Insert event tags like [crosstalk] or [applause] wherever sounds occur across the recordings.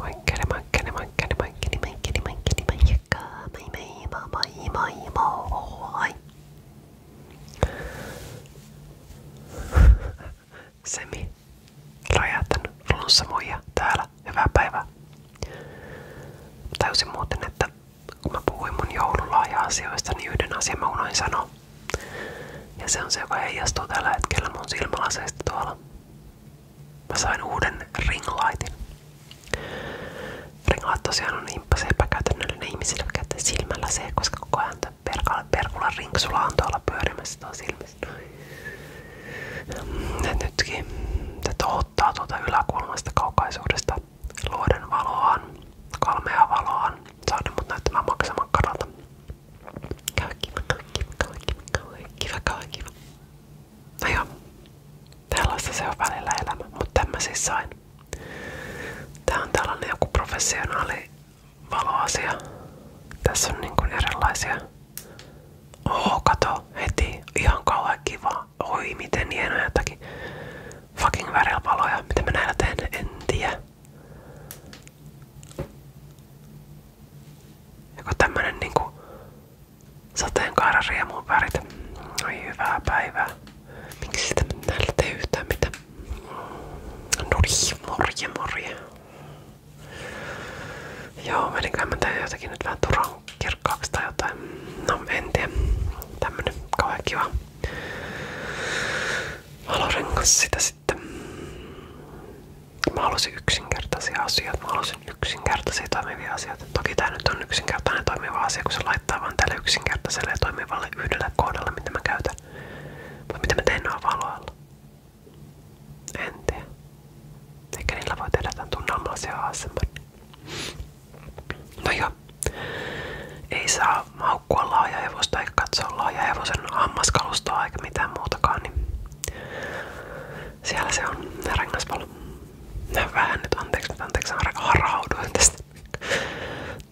Moikkeli moikkeli moikkeli moikkeli moikkeli moikkeli moikka Moi moi moi moi moi moi [laughs] Semi Räjähtän flunssa muija täällä. Hyvää päivää. Täysin muuten, että kun mä puhuin mun joululahja-asioista, niin yhden asian mä unoin sanoa. Ja se on se, joka heijastuu tällä hetkellä mun silmälaseista tuolla. Mä sain uuden ringlaitin. Ringlait tosiaan on imppas niin epäkäytännöllinen ihmisille, jotka käyttää silmällä se, koska koko ajan perkulan perkula rinksula on tuolla pyörimässä tuolla silmissä. Noin. Nytkin se tohottaa tuolta yläkulmasta kaukaisuudesta luoden valoaan, kalmea valoaan, saada mut näyttämään maksamakkaralta. Kiva, kiva, kiva, kiva, kiva, kiva, kiva, kiva. No joo, tällaista se on välillä elämä, mutta tämän siis sain. Tää on tällainen joku professionaali valoasia. Tässä on niin kuin erilaisia. Oo, kato heti. Ihan kauhean kiva. Oi, miten hienoa jotakin. Fucking värillä valoja. Mitä mä näillä teen? En tiedä. Joku tämmönen niinku sateenkaaran riemun värit. Oi hyvää päivää. Miksi sitä näillä tee yhtään mitään? No morje morje. Joo, menikään mä tein jotenkin nyt vähän turhan kirkkaaksi tai jotain. No en tiedä. Tämmönen kauhean kiva valorengas sitä sitten. Mä halusin yksinkertaisia asioita, mä halusin yksinkertaisia toimivia asioita. Toki tää nyt on yksinkertainen toimiva asia, kun se laittaa vaan tälle yksinkertaiselle ja toimivalle yhdelle kohdalle, mitä mä käytän. Mutta mitä mä teen noin valoilla? En tiedä. Eikä niillä voi tehdä tämän tunnelmallisia asemman. No joo. Ei saa maukkua laaja hevosta eikä katsoa laaja hevosen hammaskalustoa eikä mitään muutakaan, niin siellä se on ne no, Vähän nyt anteeksi, nyt anteeksi, harhauduin tästä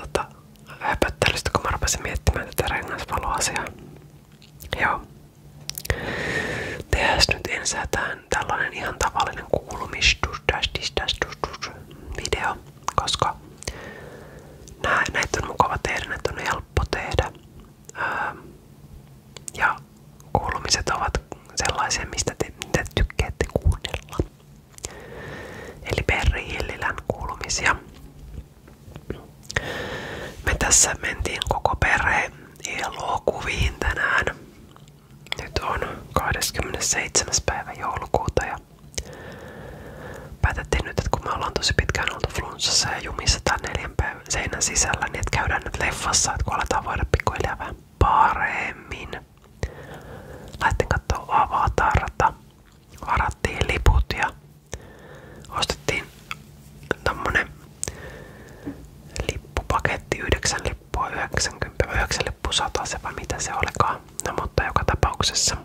tota, höpöttelystä, kun mä rupesin miettimään tätä rengaspaloasiaa. Joo. Tehdään nyt ensätään tällainen ihan tavallinen kuulumistustastistastustus video, koska Nää, näitä on mukava tehdä, näitä on helppo tehdä. Öö, ja kuulumiset ovat sellaisia, mistä te, te tykkäätte kuunnella. Eli Perri Hillilän kuulumisia. Me tässä mentiin koko perhe elokuviin tänään. Nyt on 27. päivä joulukuuta ja Päätettiin nyt, että kun me ollaan tosi pitkään oltu flunssassa ja jumissa tää neljän päivän seinän sisällä, niin että käydään nyt leffassa, että kun aletaan voida pikkuhiljaa vähän paremmin. Lähdettiin katsoa avatarta, varattiin liput ja ostettiin tämmönen lippupaketti, yhdeksän lippua, 90, 9 lippua, 100 se vai mitä se olikaan. No mutta joka tapauksessa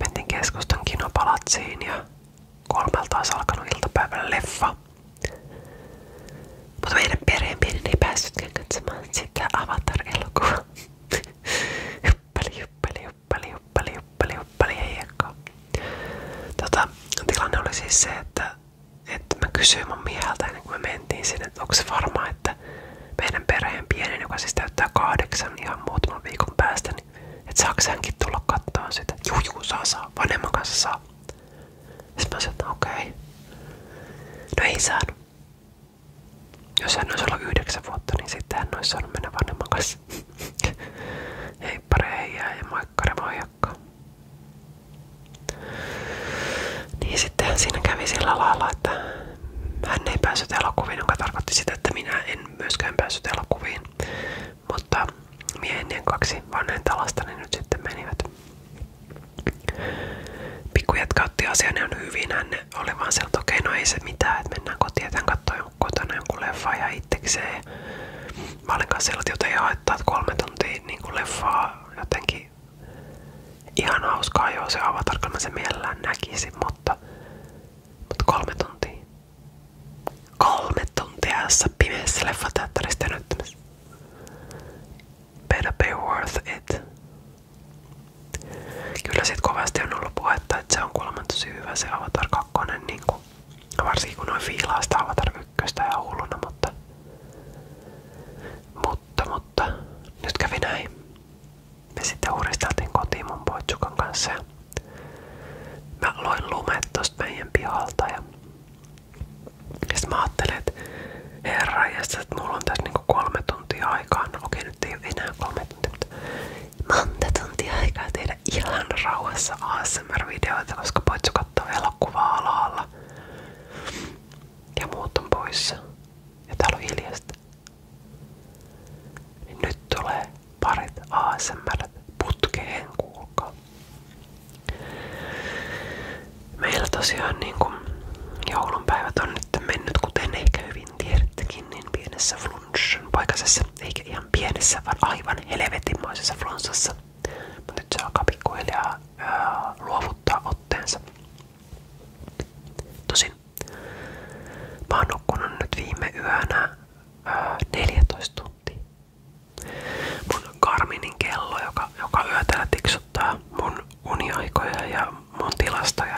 Mentiin keskustan kinopalatsiin ja kolmelta olisi alkanut iltapäivällä leffa. Mutta meidän perheen pienen ei päässytkään katsomaan sitä Avatar-elokuvaa. juppeli, [laughs] juppeli, juppeli, juppeli, juppeli, juppeli, ei tota, Tilanne oli siis se, että, että mä kysyin mun mieheltä ennen kuin me mentiin sinne, että onko se varmaa, että meidän perheen pienen, joka siis täyttää kahdeksan niin ihan muutaman viikon päästä, niin että saaks hänkin tulla kattoon sitä. Juu, juu, saa, saa. Vanhemman kanssa saa. Sitten mä sanoin, että okei. Okay. No ei saanut. Jos hän olisi ollut yhdeksän vuotta, niin sitten hän olisi saanut mennä vanhemman kanssa. [laughs] ei parei jää ja moikkari moijakka. Niin sitten siinä kävi sillä lailla, että hän ei päässyt elokuviin, joka tarkoitti sitä, että minä en myöskään päässyt elokuviin. Mutta mieheni kaksi vanhenta lastani niin nyt sitten menivät. Pikkujätkä otti asian ihan hyvin. Hän oli vaan sieltä, okei, okay, no ei se mitään, että mennään kotiin, että hän katsoi kotona jonkun leffa ja itsekseen. Mä olin kanssa sieltä, joten ei haittaa, että kolme tuntia niin kuin leffaa jotenkin Ihan hauskaa joo se avatar, kun mä sen mielellään näkisin, mutta, mutta kolme tuntia. Kolme tuntia jossa pimeässä leffateatterista näyttämässä. Better be worth it. Kyllä sit kovasti on ollut puhetta, että se on kuulemma tosi hyvä se Avatar kakkonen, niin kuin varsinkin kun noin fiilaa sitä Avatar 1 ja hulluna, mutta, mutta, mutta nyt kävi näin me sitten uudisteltiin kotiin kanssa ja mä lumet tosta meidän pihalta ja sitten mä ajattelin, tässä niinku kolme tuntia aikaa. No okei, nyt ei ole enää kolme tuntia, mutta monta tuntia aikaa koska poitsu kattoo elokuvaa alalla. Ja muut on Ja täällä on hiljasta. Niin nyt tulee parit ASMR putkeen, kuulkaa. Meillä tosiaan niin kuin joulunpäivät on nyt mennyt, kuten ehkä hyvin tiedättekin, niin pienessä flunssan paikassa, eikä ihan pienessä, vaan aivan helvetinmoisessa flunssassa. Mutta nyt se alkaa pikkuhiljaa ää, luovuttaa otteensa. Tosin mä oon nyt viime yönä ää, 14 tuntia. Mun kello, joka, joka yö täällä tiksuttaa mun uniaikoja ja mun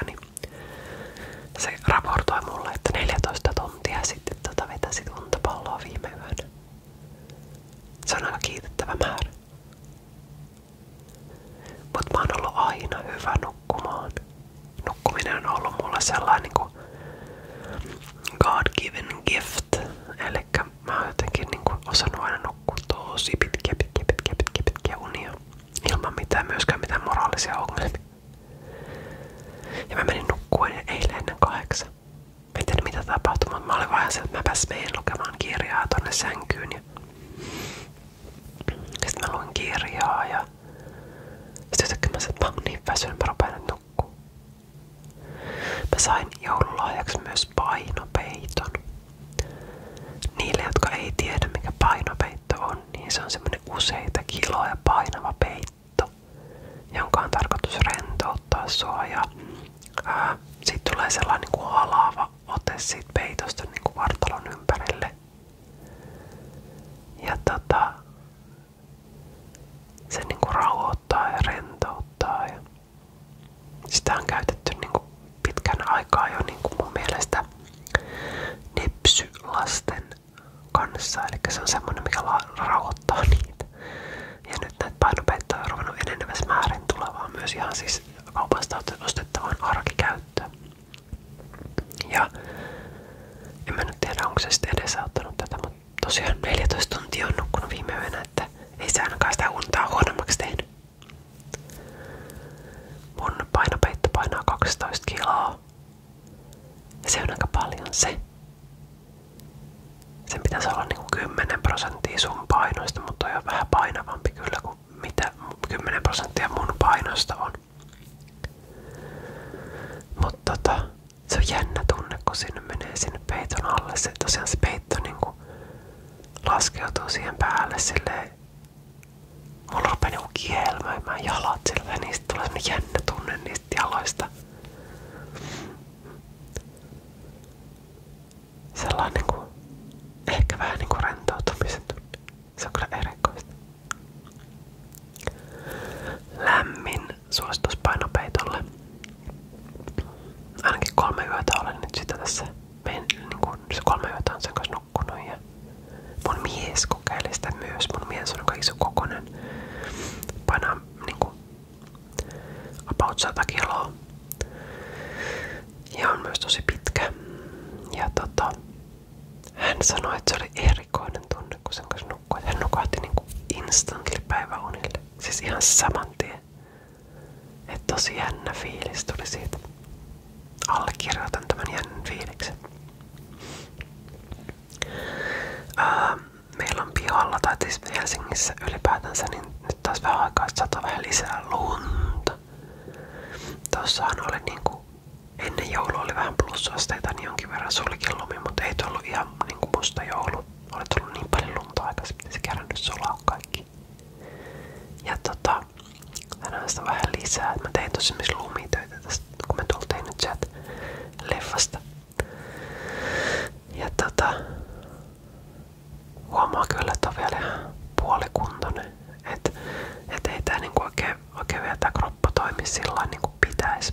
niin se raportoi mulle, että 14 tuntia sitten tota vetäsit untapalloa viime yönä. Se on aika kiitettävä määrä. Mut mä oon ollut aina hyvä nukkumaan. Nukkuminen on ollut mulle sellainen niinku God given gift. Elikkä mä oon jotenkin niinku osannut aina nukkua tosi pitkiä, pitkiä, pitkiä, pitkiä, pitkiä unia. Ilman mitään myöskään mitään moraalisia ongelmia. Ja mä menin nukkuen eilen ennen kahdeksan. Mä en tiedä mitä tapahtui, mutta mä olin vaan se, että mä meen lukemaan kirjaa tonne sänkyyn. Ja sitten mä luin kirjaa ja sitten jotenkin mä niin väsynyt, mä rupean nyt nukkuu. Mä myös painopeiton. Niille, jotka ei tiedä mikä painopeitto on, niin on semmoinen useita kiloja painava peitto, jonka on tarkoitus rentouttaa sua ja ää, siitä tulee sellainen niin kuin halava oma ote siitä peitosta niin vartalon ympärille. Ja tota, se niinku rauhoittaa ja rentouttaa. Ja sitä on käytetty niinku pitkän aikaa jo niinku mun mielestä nepsylasten kanssa. Eli se on semmonen, mikä rauhoittaa niitä. Ja nyt näitä painopeittoja on ruvennut enenevässä määrin tulevaa myös ihan siis siis kaupasta ostettavaan arkikäyttöön. Ja en mä nyt tiedä, onko se sitten edesauttanut tätä, mutta tosiaan 14 tuntia on nukkunut viime yönä, että ei se ainakaan sitä untaa huonommaksi tehnyt. Mun painopeitto painaa 12 kiloa. Ja se on aika paljon se sen pitäisi olla niinku 10 prosenttia sun painoista, mutta on vähän painavampi kyllä kuin mitä 10 prosenttia mun painosta on. Mutta tota, se on jännä tunne, kun sinne menee sinne peiton alle. Se tosiaan se peitto niinku laskeutuu siihen päälle silleen. Mulla rupeaa niinku kielmöimään jalat sillä ja niistä tulee niin jännä tunne niistä jaloista sellainen niin kuin, ehkä vähän niin kuin rentoutumisen tunne. Se on kyllä erikoista. Lämmin suositus painopeitolle. Ainakin kolme yötä olen nyt sitä tässä. Mein, niin kuin, se kolme yötä on sen kanssa nukkunut. Ja mun mies kokeili sitä myös. Mun mies on aika iso kokonen. Painaa niin kuin, about 100 kiloa. Ja on myös tosi pitkä. Ja tota, hän sanoi, että se oli erikoinen tunne, kun sen kanssa nukkui. Hän nukahti niinku instantly päiväunille. Siis ihan saman tien. Että tosi jännä fiilis tuli siitä. Allekirjoitan tämän jännän fiiliksen. meillä on pihalla, tai siis Helsingissä ylipäätänsä, niin nyt taas vähän aikaa sataa vähän lisää lunta. Tossahan oli niinku, ennen joulua oli vähän plussasteita, niin jonkin verran sulikin lumi, mutta ei tullut ihan niinku musta joulu. Oli tullut niin paljon lunta aikaisemmin, että se nyt sulaa kaikki. Ja tota, tänään sitä vähän lisää. Mä tein tosi myös lumitöitä tästä, kun me tultiin nyt sieltä leffasta. Ja tota, huomaa kyllä, että on vielä ihan puolikuntoinen. Että et ei tää niinku oikein, oikein vielä tää kroppa toimi sillä niinku pitäisi.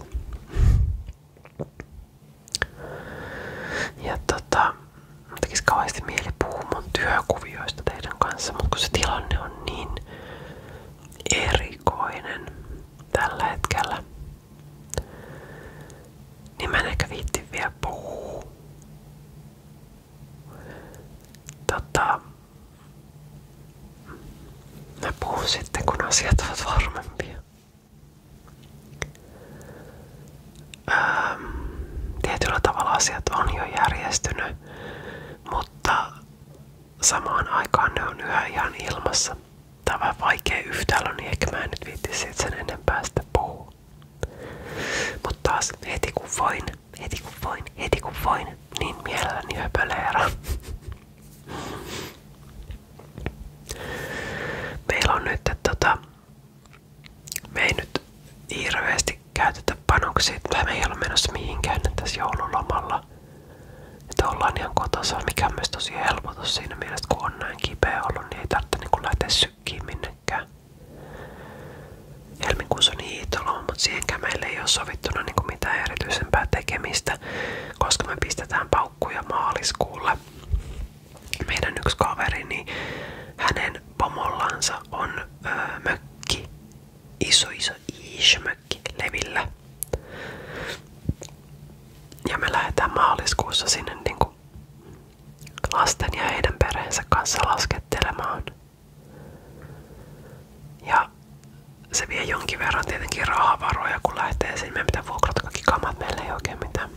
Ja tota, mä tekis kauheasti mieli puhua mun työkuvioista teidän kanssa, mutta kun se tilanne on niin erikoinen tällä hetkellä, niin mä en ehkä viitti vielä puhuu. Tota, mä puhun sitten kun asiat ovat varmempia. Ähm, tietyllä tavalla asiat on jo järjestynyt, mutta samaan aikaan ne on yhä ihan ilmassa. Tää vaikea yhtälö, niin ehkä mä en nyt viitti siitä Mutta taas heti kun voin, heti kun voin, heti kun voin, niin mielelläni höpöleera. Meillä on nyt, että tota, me nyt hirveästi käytetä panoksia, tai me ei ole menossa mihinkään tässä joululomalla. Että ollaan ihan kotosa, mikä on myös tosi helpotus siinä mielessä, kun on näin kipeä ollut, niin ei tarvitse niin lähteä sykkiin minnekään. Helmikuussa on hiitoloma, mutta siihenkään meillä ei ole sovittuna niin mitään erityisempää tekemistä, koska me pistetään paukkuja maaliskuulle. Meidän yksi kaveri, niin hänen pomollansa on öö, mökki, iso iso iso mökki levillä. Ja me lähdetään maaliskuussa sinne niinku lasten ja heidän perheensä kanssa laskettelemaan. Ja se vie jonkin verran tietenkin rahavaroja, kun lähtee sinne. Meidän pitää vuokrata kaikki kamat. Meillä ei oikein mitään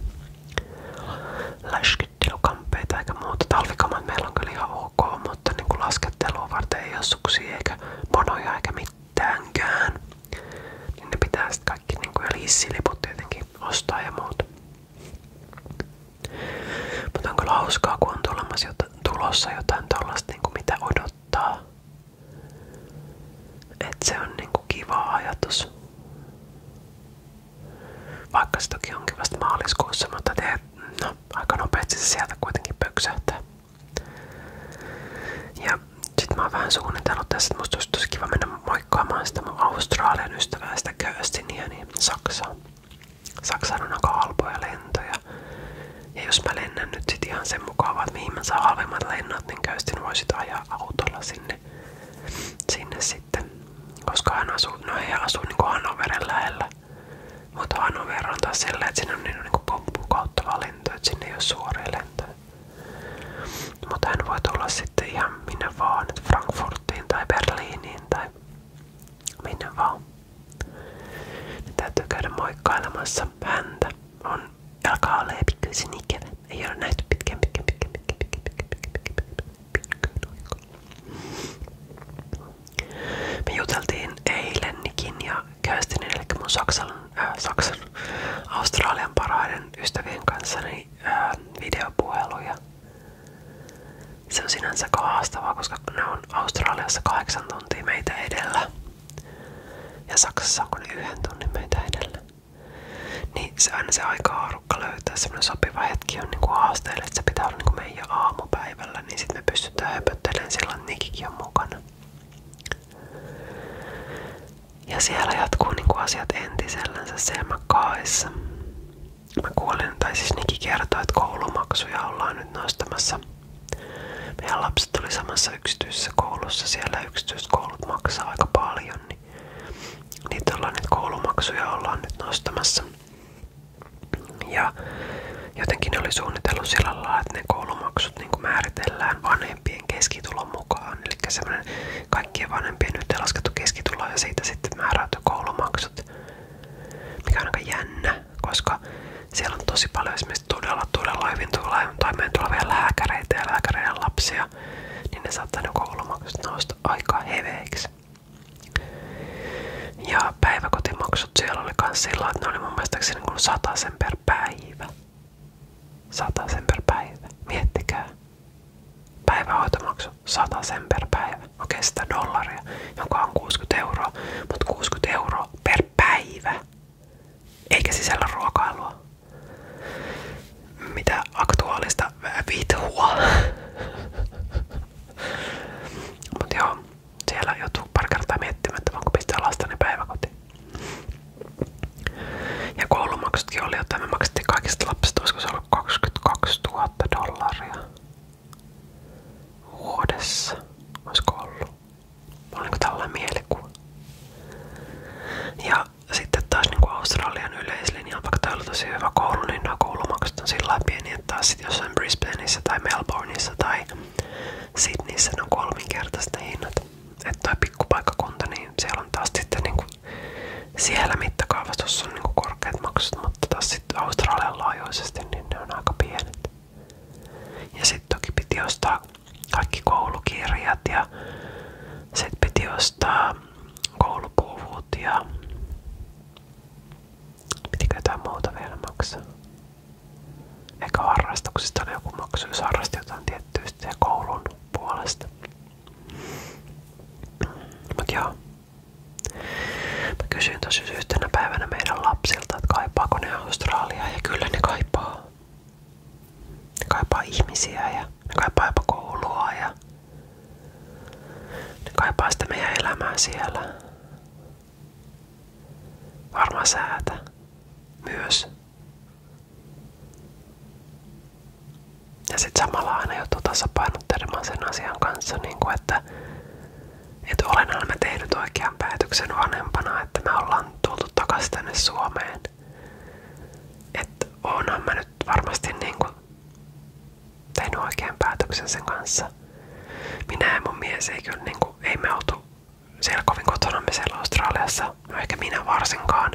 läskyttelykamppeita eikä muuta. Talvikamat meillä on kyllä ihan ok, mutta niin kuin laskettelua varten ei ole suksia eikä monoja eikä mitäänkään. Niin ne pitää sitten kaikki niin kuin, ja lissiliput tietenkin ostaa ja muuta. Mutta on kyllä hauskaa, kun on tulemassa jota, tulossa jotain tollasta, niin kuin, mitä odottaa. Et se on niin kuin kiva ajatus. Vaikka se toki onkin vasta maaliskuussa, mutta te, no, aika nopeasti se sieltä kuitenkin pöksähtää. Ja sitten sit mä oon vähän suunnitellut tässä, että musta olisi tosi kiva mennä moikkaamaan sitä mun Australian ystävää, sitä Kirstiniä, niin Saksaan. Saksaan on aika halpoja lentoja. Ja jos mä lennän nyt sit ihan sen mukaan, että mihin mä saan halvemmat lennot, niin Kirstin voi sit ajaa autolla sinne, sinne sitten. Koska hän asuu, no he asuu kuin niinku Hannoveren lähellä. Mutta Hannover on taas sellainen, että sinne on niinku pomppukauttava lento, että sinne ei ole suoria lentoja. Mutta hän voi tulla sitten ihan minne vaan, Frankfurtiin tai Berliiniin tai minne vaan. Niin täytyy käydä moikkailemassa häntä. On, alkaa olla pikkuisen ikävä. Ei ole nähty pitkään, pitkään, pitkään, pitkään, pitkään, pitkään, pitkään, pitkään, pitkään, pitkään. Me juteltiin eilenikin ja Köstinin, eli mun Saksan, äh, Saksan, Australian parhaiden ystävien kanssa niin, äh, videopuheluja. Se on sinänsä haastavaa, koska ne on Australiassa kahdeksan tuntia meitä edellä. Ja Saksassa on kuin yhden tunnin meitä edellä. Niin se aina se aika haarukka löytää semmoinen sopiva hetki on niinku haasteelle, että se pitää olla niinku meidän aamupäivällä, niin sitten me pystytään höpöttelemään silloin, että Nikikin on mukana. Ja siellä jatkuu niinku asiat entisellänsä siellä kaissa. Mä kuulen tai siis Niki kertoi, että koulumaksuja ollaan nyt nostamassa. Meidän lapset oli samassa yksityisessä koulussa, siellä yksityiskoulut maksaa aika paljon, niin niitä ollaan nyt koulumaksuja ollaan nyt nostamassa. Ja jotenkin ne oli suunnitellut sillä lailla, että ne koulumaksut niin kuin määritellään vaan vanhempien keskitulon mukaan. Eli semmoinen kaikkien vanhempien nyt laskettu keskitulo ja siitä sitten määräytyy koulumaksut. Mikä on aika jännä, koska siellä on tosi paljon esimerkiksi todella, todella hyvin toimeen tulevia lääkäreitä ja lääkäreiden lapsia, niin ne saattaa ne koulumaksut nousta aika heveiksi. Ja päiväkotimaksut siellä oli myös sillä, että ne oli mun mielestäni niin sen per päivä. Sata sen per päivä. Miettikää. Päivähoitomaksu. Sata sen per päivä. Okei, 100 dollaria, joka on 60 euroa. Mutta 60 euroa per päivä. Eikä sisällä ruokailua. Mitä aktuaalista vitua. [laughs] mutta joo, siellä joutuu pari kertaa miettimään, että voinko pistää lastani päiväkotiin. Ja koulumaksutkin oli, jotta me maksettiin kaikista lapsista, olisiko se ollut dollaria vuodessa. Olisiko ollut? Oliko niinku tällainen Ja sitten taas niin kuin Australian yleislinjalla, vaikka täällä on tosi hyvä niin sillä pieni, että taas sit jossain Brisbaneissa tai Melbourneissa tai Sydneyssä ne on kolminkertaiset hinnat. Että toi pikkupaikkakunta, niin siellä on taas sitten niinku, siellä mittakaavassa on niinku korkeat maksut, mutta taas sitten Australian laajuisesti niin ne on aika pienet. Ja sitten toki piti ostaa kaikki koulukirjat ja sitten piti ostaa koulupuvut ja pitikö jotain muuta vielä maksaa. Eikä harrastuksista oli joku maksu, jos harrasti jotain tiettyistä ja koulun puolesta. Mut joo. Mä kysyin tosi yhtenä päivänä meidän lapsilta, että kaipaako ne Australiaa ja kyllä ne kaipaa. Ne kaipaa ihmisiä ja ne kaipaa jopa koulua ja ne kaipaa sitä meidän elämää siellä. Varma säätä. Myös. Ja sitten samalla aina joutuu tasapainottelemaan sen asian kanssa, niin kuin että, et olenhan mä tehnyt oikean päätöksen vanhempana, että me ollaan tultu takaisin tänne Suomeen. Että oonhan mä nyt varmasti niin kuin tehnyt oikean päätöksen sen kanssa. Minä ja mun mies ei kyllä niin kuin, ei me oltu siellä kovin kotonamme siellä Australiassa. No ehkä minä varsinkaan.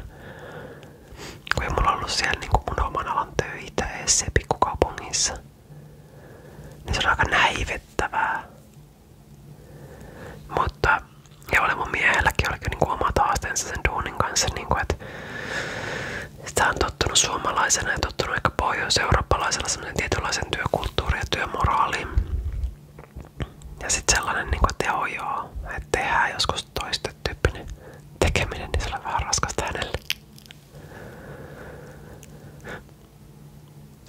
Kun ei mulla ollut siellä niin kuin mun oman alan töitä edes se pikkukaupungissa. Niin se on aika näivettävää. Mutta ja oli mun miehelläkin oli niin kuin omat haasteensa sen duunin kanssa. Niin kuin, että sitä on tottunut suomalaisena ja tottunut aika pohjois-eurooppalaisella semmoinen tietynlaisen työkulttuuri ja työmoraali. Ja sitten sellainen, niin kuin, että joo joo, että tehdään joskus toisten tyyppinen tekeminen, niin se oli vähän raskasta hänelle.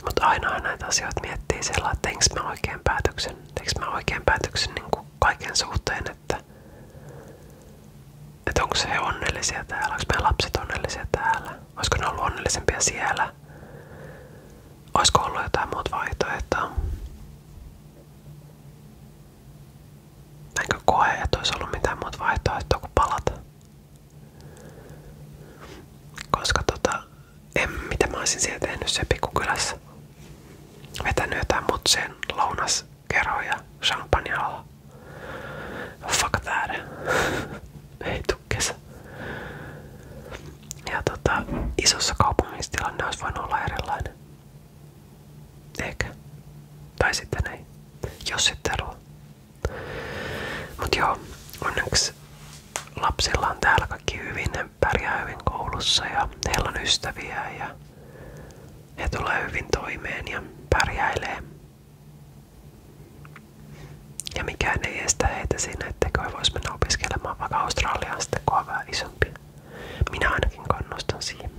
Mutta aina näitä asioita miettii sillä, että teinkö mä oikein päätöksen, teinkö mä oikein päätöksen niin kuin kaiken suhteen, että, että onko se he onnellisia täällä, onko meidän lapset onnellisia täällä. Olisiko ne ollut onnellisempia siellä? Olisiko ollut jotain muuta vaihtoehtoa? Enkö koe, että olisi ollut mitään muuta vaihtoehtoa kuin palata? Koska tota, en, mitä mä olisin siellä tehnyt se pikkukylässä. Vetänyt jotain mutseen lounaskeroja champagnealla. Fuck that. Ei tuu kesä. Ja tota, isossa kaupungissa tilanne olisi voinut olla erilainen. Eikä. Tai sitten ei. Jos sitten eroa. Mut joo, onneksi lapsilla on täällä kaikki hyvin. Ne pärjää hyvin koulussa ja heillä on ystäviä ja he tulee hyvin toimeen ja pärjäilee. Ja mikään ei estä heitä siinä, etteikö he vois mennä opiskelemaan vaikka Australiaan sitten, kun isompi. Minä ainakin kannustan siihen.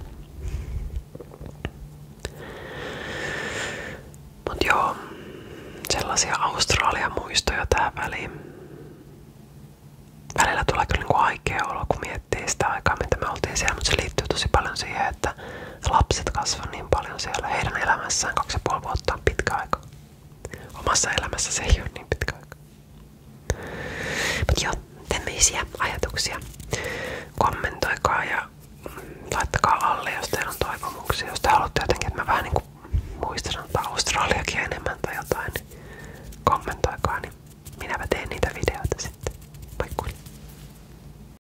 Mut joo, sellaisia Australian muistoja tähän väliin. Välillä tulee kyllä niinku aikea olo, kun miettii sitä aikaa, mitä me oltiin siellä, mutta se liittyy tosi paljon siihen, että lapset kasvoi niin paljon siellä heidän elämässään. Kaksi ja puoli vuotta on pitkä aika. Omassa elämässä se ei ole niin pitkä aika. Mutta joo, tämmöisiä ajatuksia. Kommentoikaa ja laittakaa alle, jos teillä on toivomuksia. Jos te haluatte jotenkin, että mä vähän niinku muistan antaa Australiakin enemmän tai jotain, niin kommentoikaa, niin minäpä teen niitä videoita sitten. Moi